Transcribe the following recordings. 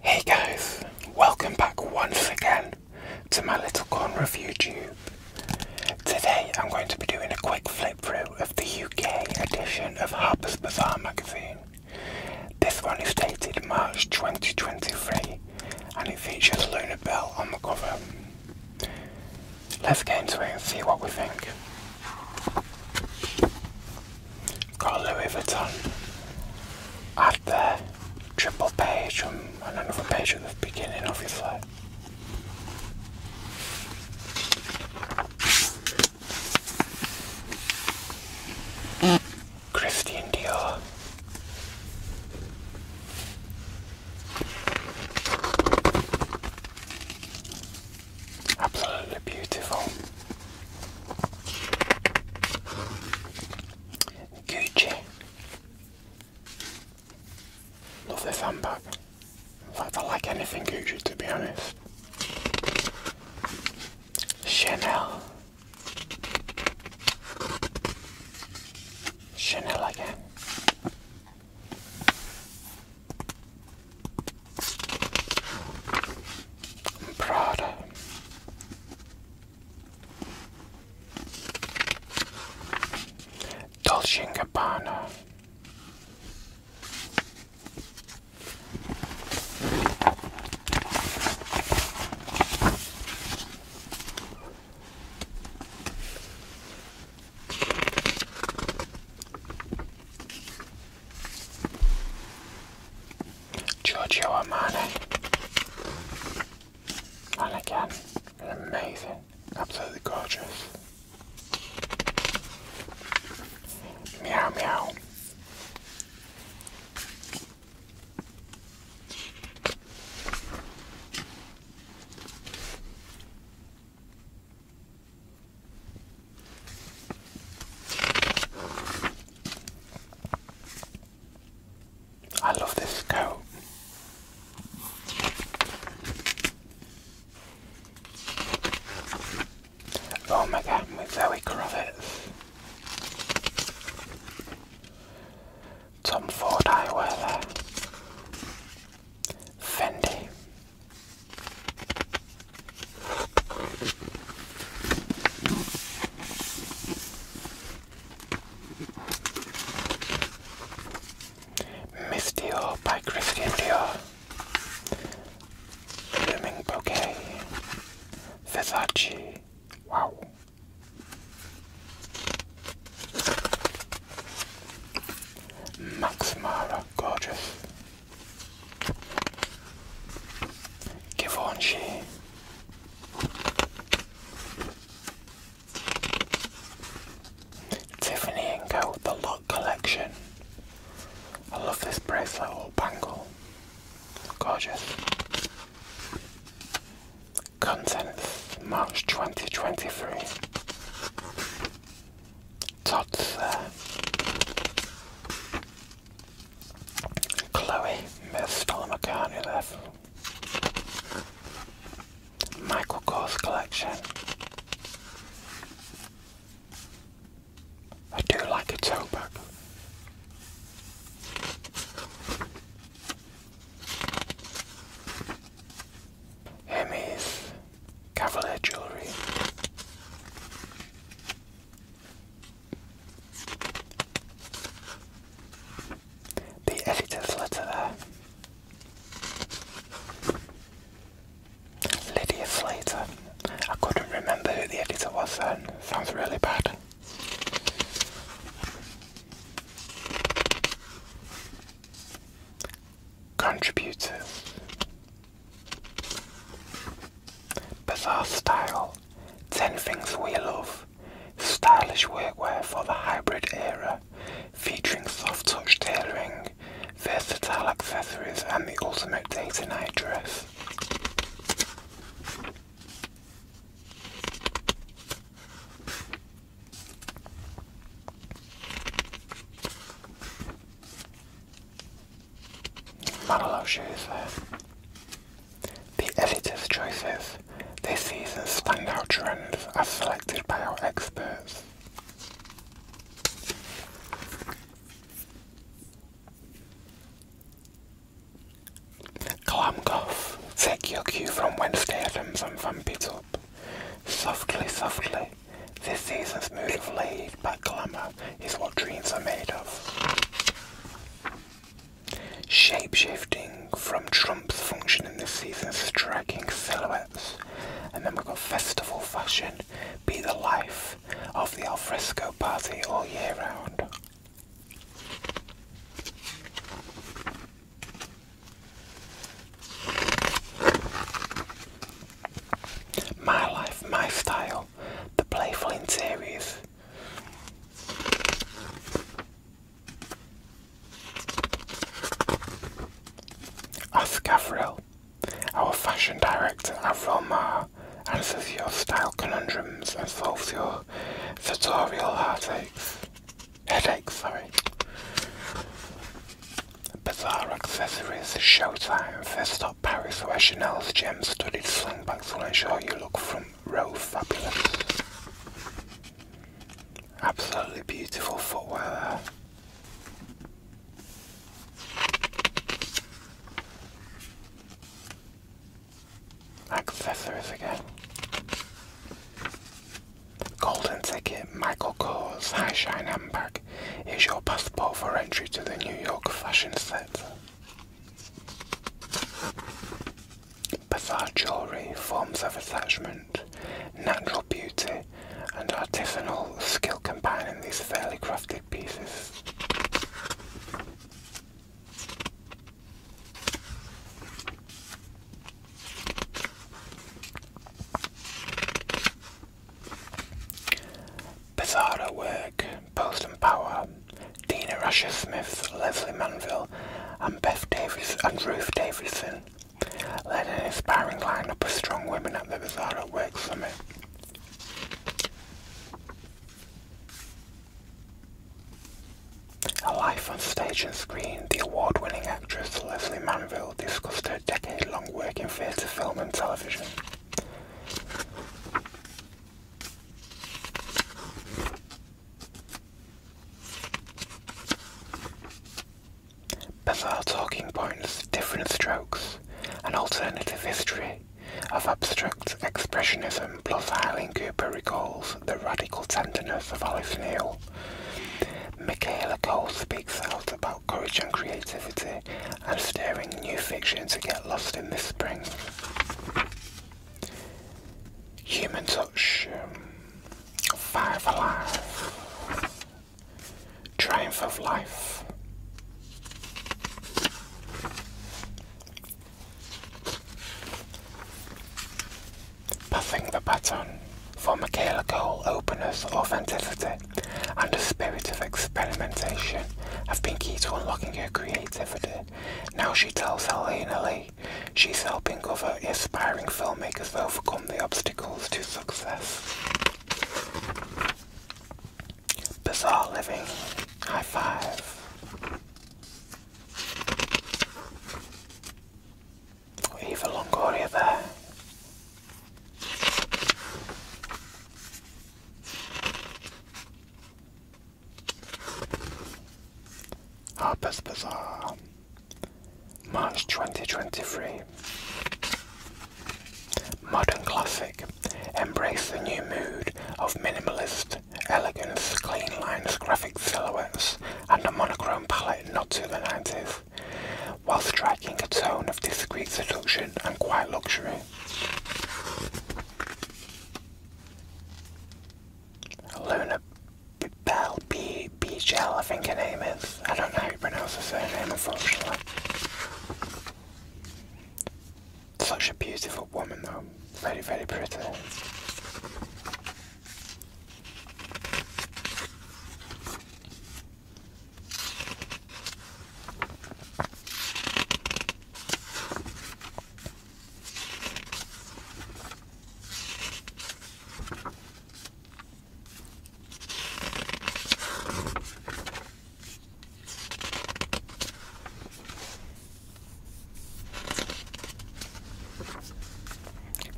Hey guys, welcome back once again to my little corn review tube. Today I'm going to be doing a quick flip through of the UK edition of Harper's Bazaar magazine. This one is dated March 2023 and it features Luna Bell on the cover. Let's get into it and see what we think. Got Louis Vuitton at the triple page um, and another page at the beginning, obviously. Christian Dior. Absolutely beautiful. Gucci. Love this handbag. In fact, I like anything Gucci to be honest. Chanel. Chanel again. Prada. Dolce & Gabbana. Giorgio Armani. And again, amazing, absolutely gorgeous. Meow meow. I love this coat. Oh my god, with Zoe Kravitz. Tom Ford Highway there. Fendi. Miss by Christian Dior. Blooming Bouquet. Versace. Wow. Max Mara, gorgeous. Givenchy. Tiffany & Co. The Lot Collection. I love this bracelet or bangle. Gorgeous. Contents March 2023. Tots Chloe, Miss Stella McCartney level. Michael Kors collection. I do like a tote bag. Hemis Cavalier The editor's letter there. Lydia Slater. I couldn't remember who the editor was then. Sounds really bad. Contributor. Bazaar style. Ten things we love. Stylish workwear for the hybrid era, featuring soft touch tailoring, versatile accessories, and the ultimate day to night dress. Manolo shows there. The editor's choices this season's standout trends are selected by our experts. Glam Take your cue from Wednesday Adams and Vamp It Up. Softly, softly. This season's mood of laid back glamour is what dreams are made of. Shape shifting from Trump's function in this season's striking silhouettes. And then we've got festival fashion be the life of the alfresco party all year round. My life, my style, the playful interiors. Oscar Frill, our fashion director Avril Mar answers your style conundrums and solves your sartorial heartaches. Headaches, sorry. Bizarre accessories, showtime. First stop Paris, where Chanel's gem-studded slingbacks will ensure you look front row fabulous. Absolutely beautiful footwear Accessories again. Golden ticket Michael Kors High Shine Handbag is your passport for entry to the New York fashion set. Bizarre jewellery, forms of attachment, natural beauty, and artisanal skill combining these fairly crafted plastic pieces. Bizarro work, Post Power, Dina Rasher Smith, Leslie Manville, and Beth Davis and Ruth Davidson led an inspiring lineup of strong women at the Bizarro Work Summit. Life on stage and screen, the award-winning actress Leslie Manville discussed her decade-long work in theatre, film and television. Bizarre talking points, different strokes, an alternative history of abstract expressionism, plus Eileen Cooper recalls the radical tenderness of Alice Neal. Michaela Cole speaks out about courage and creativity and steering new fiction to get lost in the spring. Human Touch, um, Triumph of Life. Passing the baton for Michaela Cole, openness, authenticity, and a spirit of experimentation have been key to unlocking her creativity. Now she tells Helena Lee she's helping other aspiring filmmakers overcome the obstacles to success. Bizarre living. High five. Eva Longoria there. Harper's Bazaar. March 2023. Modern Classic. Embrace the new mood of minimalist elegance, clean lines, graphic silhouettes, and a monochrome palette not to the 90s, while striking a tone of discreet seduction and quiet luxury. Luna Bell B Gel, I think her name is. I don't know how you pronounce the surname unfortunately. Such a beautiful woman though. Very, very pretty.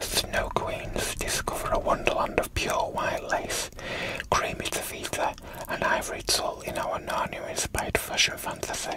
Snow Queens discover a wonderland of pure white lace, creamy taffeta, and ivory tulle in our Narnia-inspired fashion fantasy.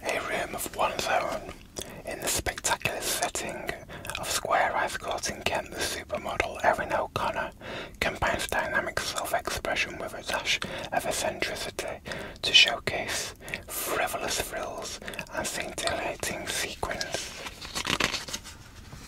A room of one's own in the spectacular setting of square Ice court in Kent, the supermodel Erin O'Connor combines dynamic self expression with a dash of eccentricity to showcase frivolous frills and scintillating sequins.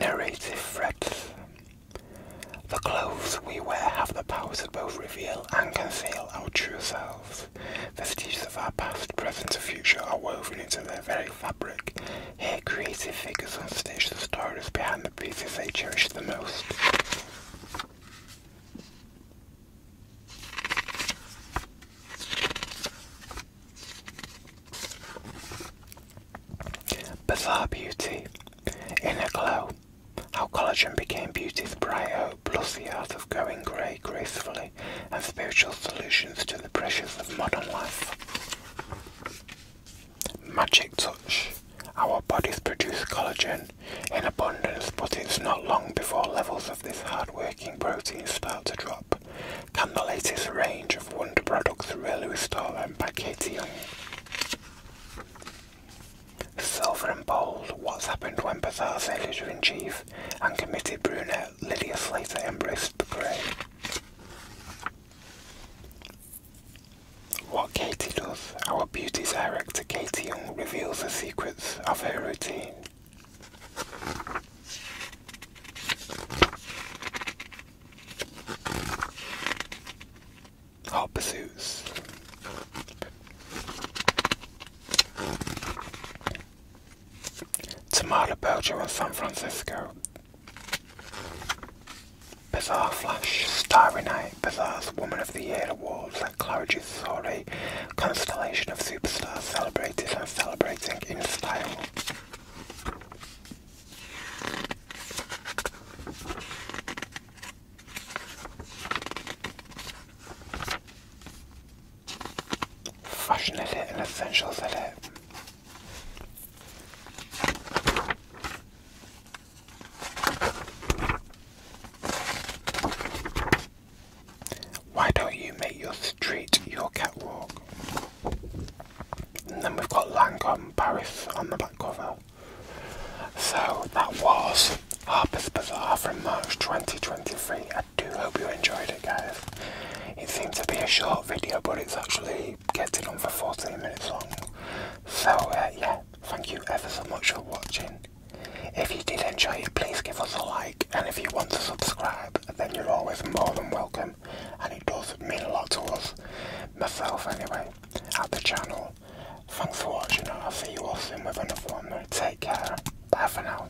Narrative breadth. The clothes we wear have the powers to both reveal and conceal our true selves. Vestiges of our past, present, or future are woven into their very fabric. Here, creative figures unstitch the stories behind the pieces they cherish the most. Bizarre Beauty, Inner Glow, How Collagen Became Beauty's Bright Hope, plus the art of going grey gracefully, and spiritual solutions to the pressures of modern life. Magic Touch. Our bodies produce collagen in abundance, but it's not long before levels of this hard-working protein start to drop. Can the latest range of Wonder products really restore them by Katie Young? Silver and Bold, what's happened when Bazaar's editor-in-chief and committed brunette Lydia Slater embraced the grey? What Katie does, our beauty director Katie Young reveals the secrets of her routine. Hot Pursuits. Tamara Belger in San Francisco Bizarre Flash, Starry Night, bizarre. Woman of the Year awards and Claridge's story, constellation of superstars celebrated and celebrating in style. Fashion edit and essentials edit. Why don't you make your street your catwalk? And then we've got Lancome Paris on the back cover. So that was Harper's Bazaar from March 2023. I do hope you enjoyed it, guys. It seems to be a short video, but it's actually Getting on for 14 minutes long. So uh, yeah, thank you ever so much for watching. If you did enjoy it, please give us a like. And if you want to subscribe, then you're always more than welcome. And it does mean a lot to us, myself anyway, at the channel. Thanks for watching and I'll see you all soon with another one. Take care. Bye for now.